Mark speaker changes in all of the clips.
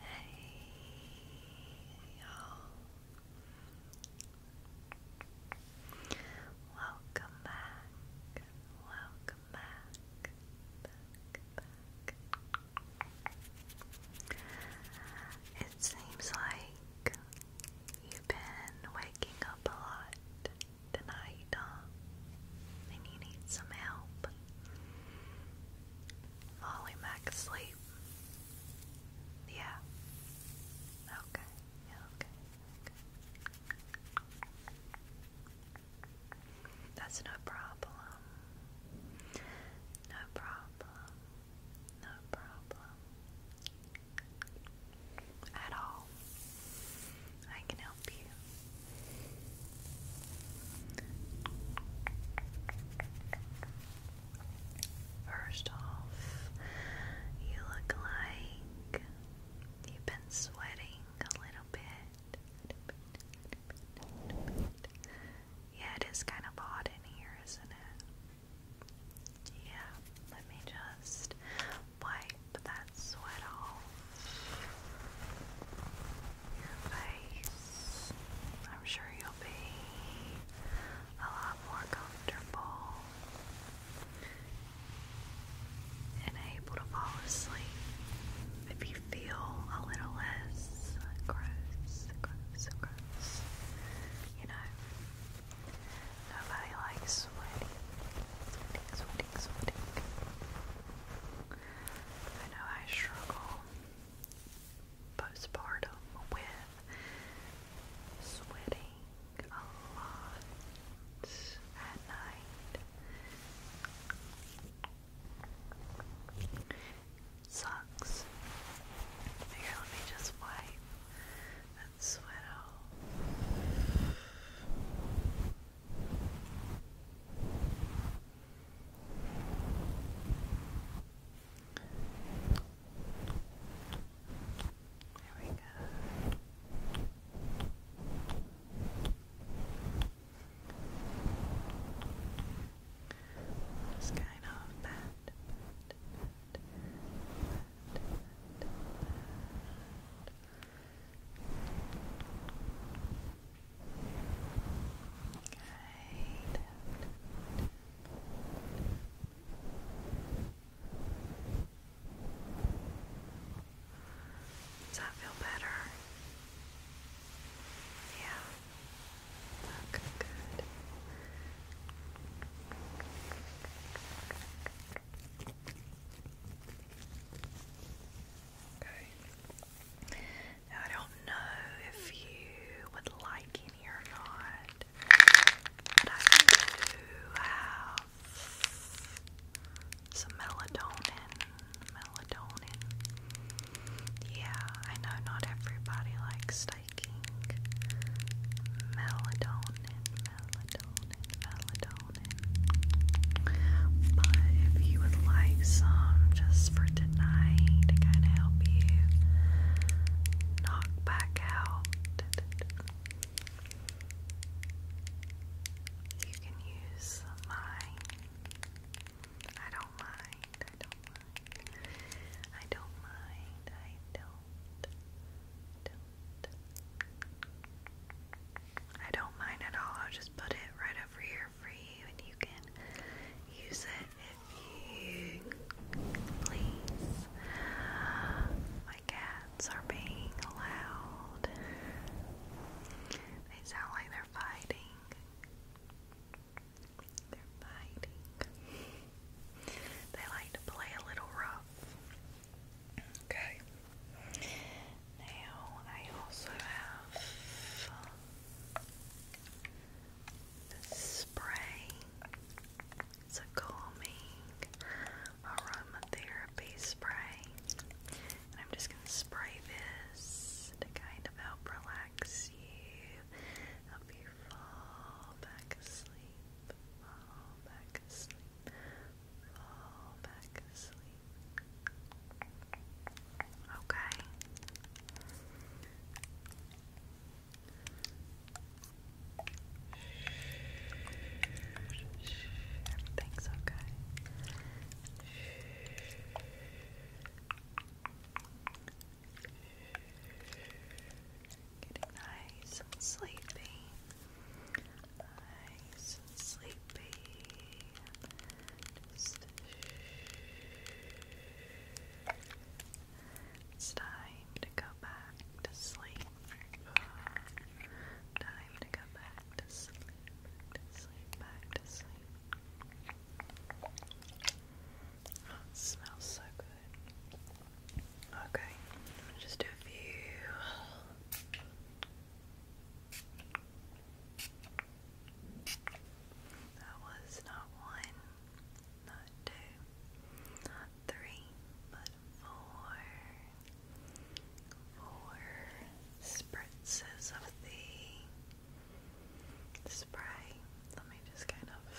Speaker 1: Hey y'all. Welcome back. Welcome back. It seems like you've been waking up a lot tonight, huh? Um, and you need some help. Molly Mac asleep. Yeah, okay. Okay. That's no problem. No problem. No problem. At all. I can help you. First off, you look like you've been sweating a little bit. Yeah, it is kind of hot in here, isn't it? Yeah, let me just wipe that sweat off your face. I'm sure you'll be a lot more comfortable and able to fall asleep if you feel a little less gross, gross, gross. You know, Nobody likes sweating. Sweating, sweating, sweating. I know I struggle postpartum with sweating a lot at night. sucks. Here, let me just wipe that's sweat off. There we go. Just kind of pat, does that feel better? Yeah. Look good. I don't know if you would like any or not, but I do have some melatonin. Melatonin. Yeah, I know not everybody likes liking melatonin, melatonin, melatonin. But if you would like some just for tonight to kind of help you knock back out, you can use mine. I don't mind. I don't mind. I don't mind. I don't I don't mind at all. I'll just put it right over here for you, and you can use it if you please. My cats are being loud. They sound like they're fighting. They're fighting. They like to play a little rough. Okay. Now I also have uh, this spray. It's a calming aromatherapy spray. And I'm just going to spray this to kind of help relax you, help you fall back asleep fall back asleep, fall back asleep. Okay. Everything's okay. Getting nice and sleepy. Nice and sleepy. it's time to go back to sleep. Time to go back to sleep. sleep. Back to sleep. Oh, it smells so good. Okay, just a few. That was not one, not two, not three, but four. Four spritzes of the spray. Let me just kind of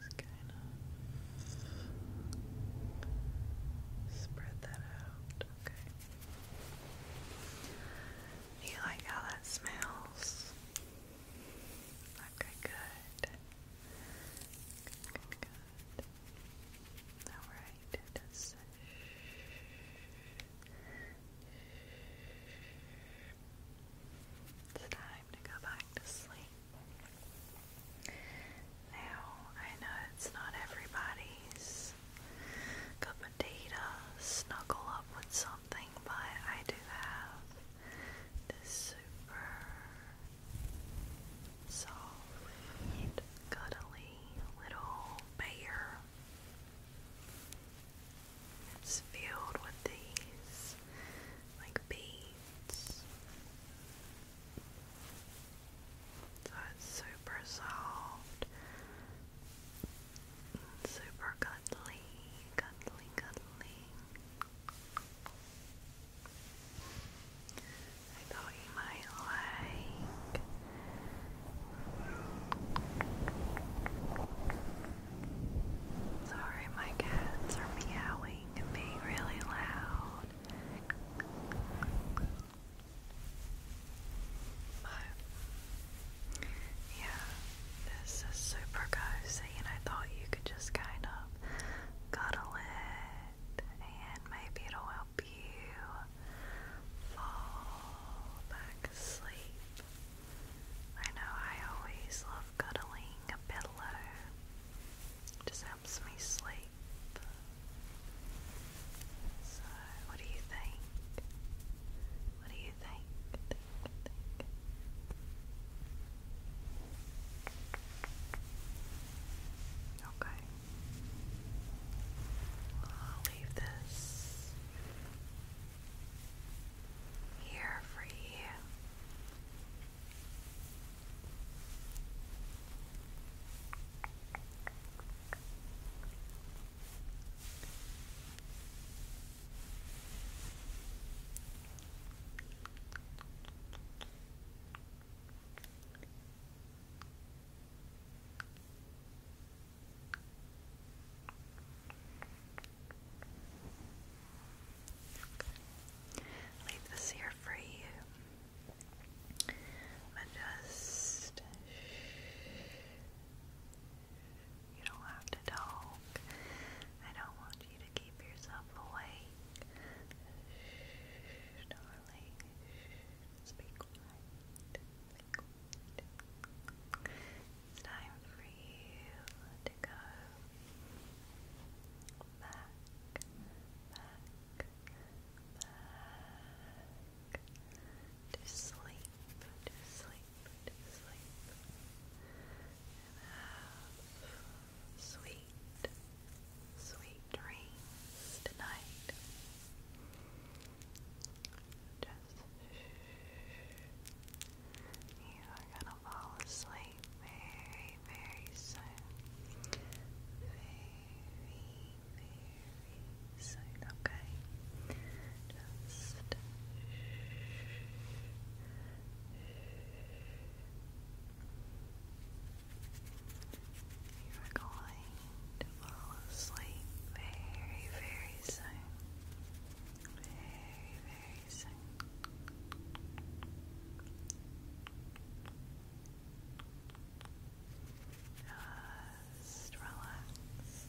Speaker 1: just kind of spread that out. Okay. You like how that smells? Okay, good. Good, good. Alright, that's it's time to go back to sleep. Now, I know it's not everybody's cup of tea to snuggle up with something, but I do have this super soft, cuddly little bear. It's filled with these like beads. So it's super soft, super cuddly, cuddly, cuddly. I thought you might like. Sorry, my cats are meowing and being really loud. But, yeah, this is super cozy, and I thought you could just kind of cuddle it and maybe it'll help you fall back asleep. I know I always love cuddling a pillow. It just helps me sleep. So, what do you think? What do you think? Okay. I'll leave this here for you. Leave this here for you. And just you don't have to talk. I don't want you to keep yourself away, darling. Shh, quiet. It's time for you to go back, back, back to sleep, to sleep, to sleep have sweet, sweet dreams tonight. Just You are gonna fall asleep very, very soon. Very, very soon, okay? Just you're going to fall asleep very, very soon. Very, very soon. Just relax.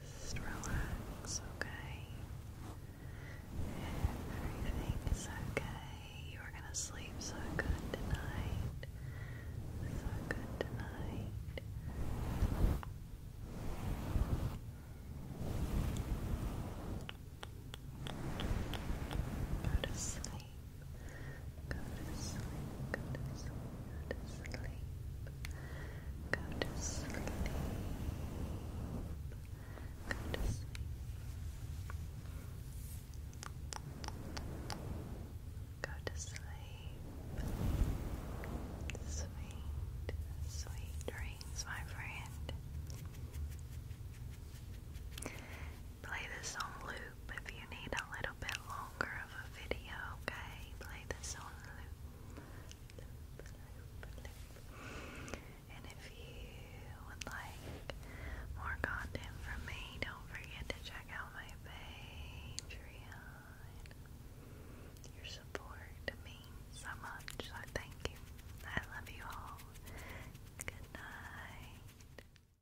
Speaker 1: Just relax, okay? Everything is okay. You are gonna sleep so good tonight. So good tonight. Go to sleep. Go to sleep, go to sleep, go to sleep. Go to sleep. Go to sleep. Sweet, sweet dreams, my friend. Play this on loop if you need a little bit longer of a video, okay? Play this on loop. And if you would like more content from me, don't forget to check out my Patreon. Your support means so much, so thank you. I love you all. Good night.